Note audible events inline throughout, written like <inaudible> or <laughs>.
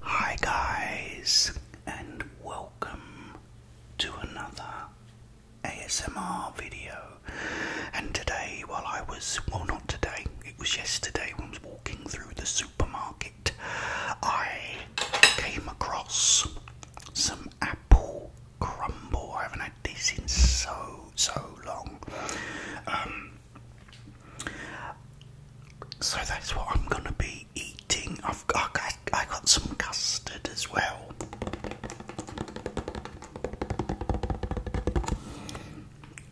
Hi, guys, and welcome to another ASMR video. And today, while I was, well, not today, it was yesterday when I was walking through the supermarket, I came across some apple crumble. I haven't had this in so, so long. Um, so that's what I'm gonna be eating. I've got, I got some custard as well.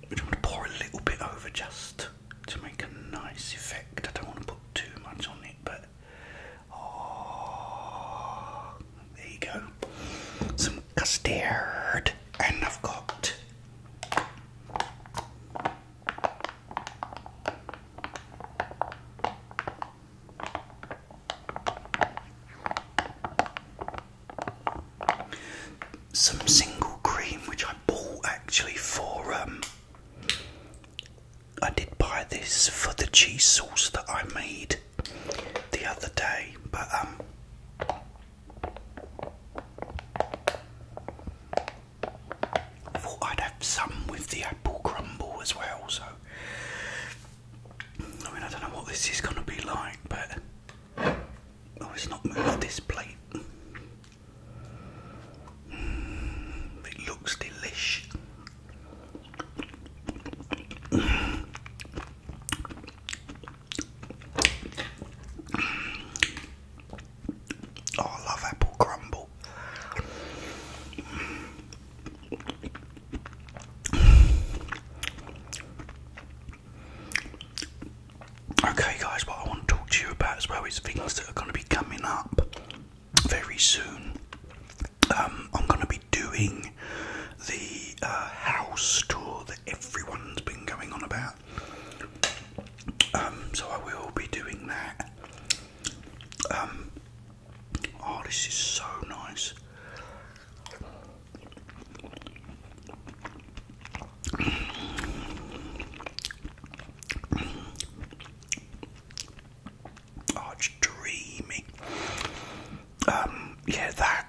I'm going to pour a little bit over just to make a nice effect. I don't want to put too much on it, but oh, there you go. Some custard, and I've got. Some single cream which I bought actually for um I did buy this for the cheese sauce that I made the other day, but um I thought I'd have some with the apple crumble as well, so I mean, I don't know what this is going to be like, but oh, it's not moved this plate. Mm, it looks delish. Oh, I love apple crumble. Okay, guys, what I want to talk to you about as well is things that are going to be coming up very soon. Um, I'm going to be doing the uh, house tour that everyone's been going on about. Um, so I will be doing that. Um, Oh, this is so nice. Oh, it's dreamy. Um, yeah, that.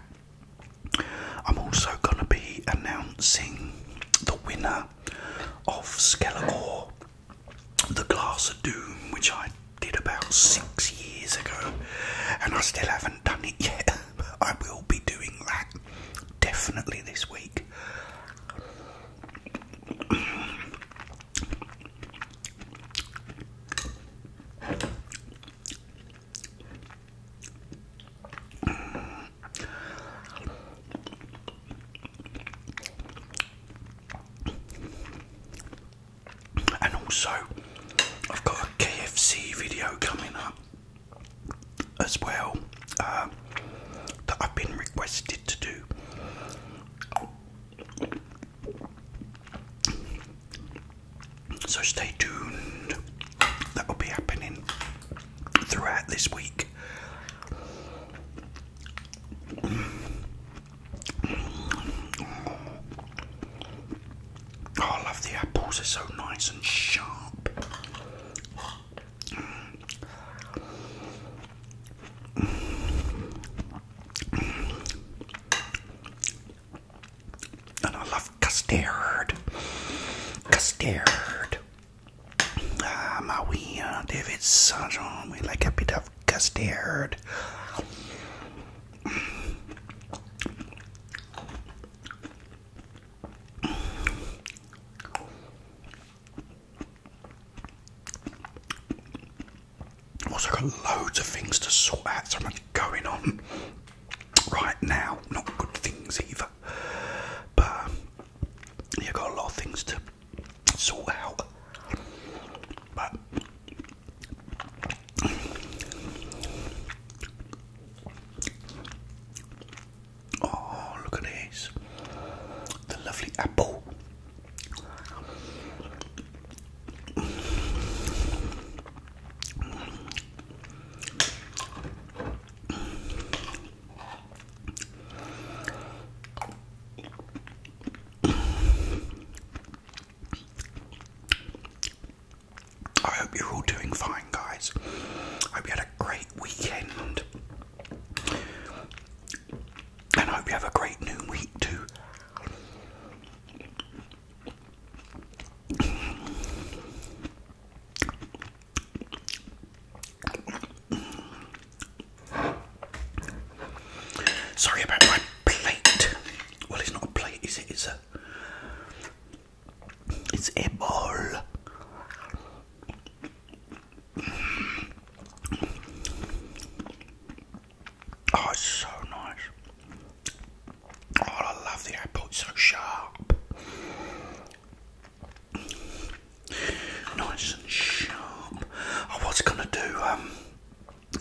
I'm also going to be announcing the winner of Skeletor, the Glass of Doom, which I did about six years ago, and I still haven't done it yet. <laughs> I will be doing that definitely this week and also I've got a KFC video coming up as well uh, that I've been requested to do. So stay tuned, that will be happening throughout this week. Oh, I love the apples, they're so nice and sharp. And I love custard. Custard. Ah, Maria, uh, David Sajon, we like a bit of custard. Also got loads of things to sort out, so much going on right now. Not good things either, but you got a lot of things to sort out. But oh, look at this! The lovely apple. I hope you're all doing fine, guys. I hope you had a great weekend. And I hope you have a great new week, too. Sorry about my plate. Well, it's not a plate, is it? It's a. It's a ball. Oh, it's so nice. Oh, I love the apple, it's so sharp. Nice and sharp. I was gonna do um,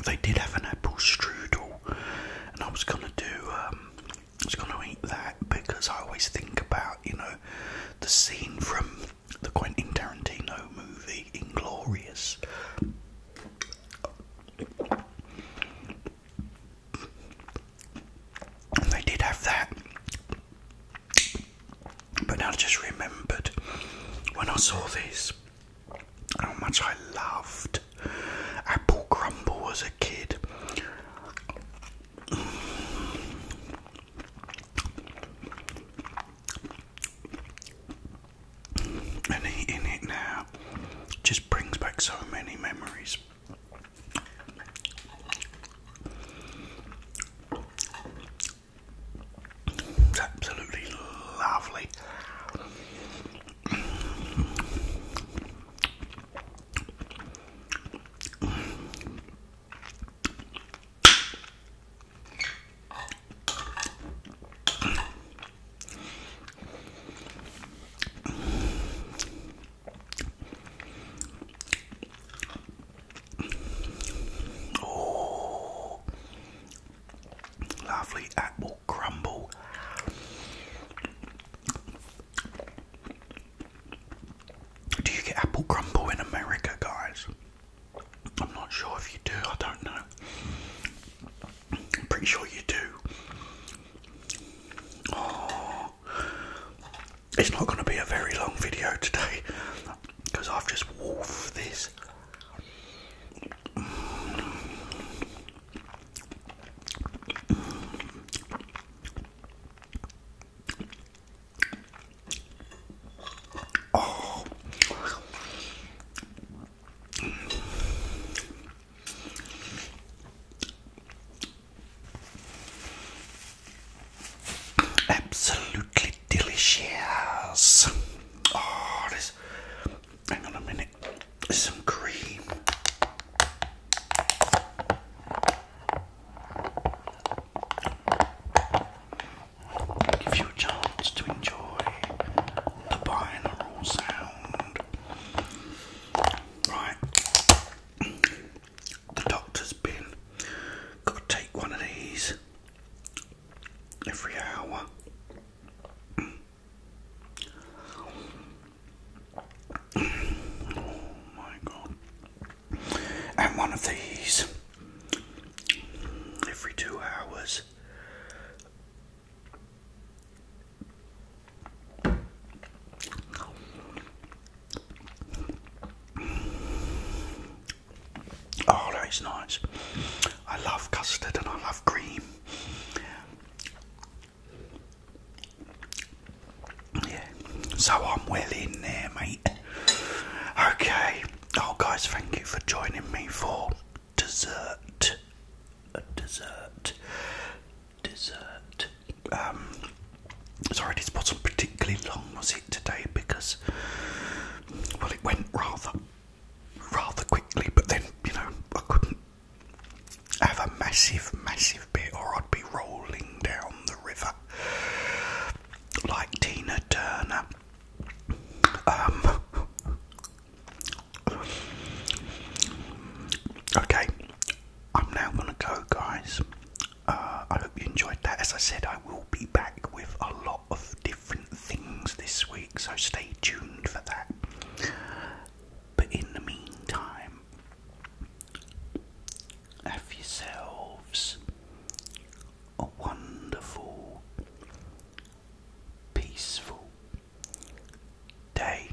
they did have an apple strudel and I was gonna do um, I was gonna eat that because I always think about, you know, the scene from the Quentin Tarantino movie Inglorious they did have that but now I just remembered when I saw these, how much I loved apple crumble as a kid. And eating it now just brings back so many memories. It's absolutely lovely. Oh, lovely apple crumble. Do you get apple crumble in America, guys? I'm not sure if you do, I don't know. I'm pretty sure you do. Oh. It's not going to be a very long video today because I've just wolfed this. Absolutely delicious. Oh, this. Hang on a minute. some cream. give you a chance to enjoy the binaural sound. Right the doctor's been. Got to take one of these every hour. oh my god. And one of these every two hours. Oh, that is nice. I love custard and I love cream. Yeah, so I'm well in there, mate. Okay, oh, guys, thank you for joining me for dessert. A dessert. Dessert. Um, Sorry, this wasn't particularly long, was it today? Because, well, it went rather, rather quickly. But then, you know, I couldn't have a massive, massive bit, or I'd be rolling down the river like Tina Turner. Um, okay, I'm now gonna go, guys. Uh, I hope you enjoyed that. As I said, I will be back with a lot of different things this week, so stay tuned for that. But in the meantime, have yourselves a wonderful, peaceful day.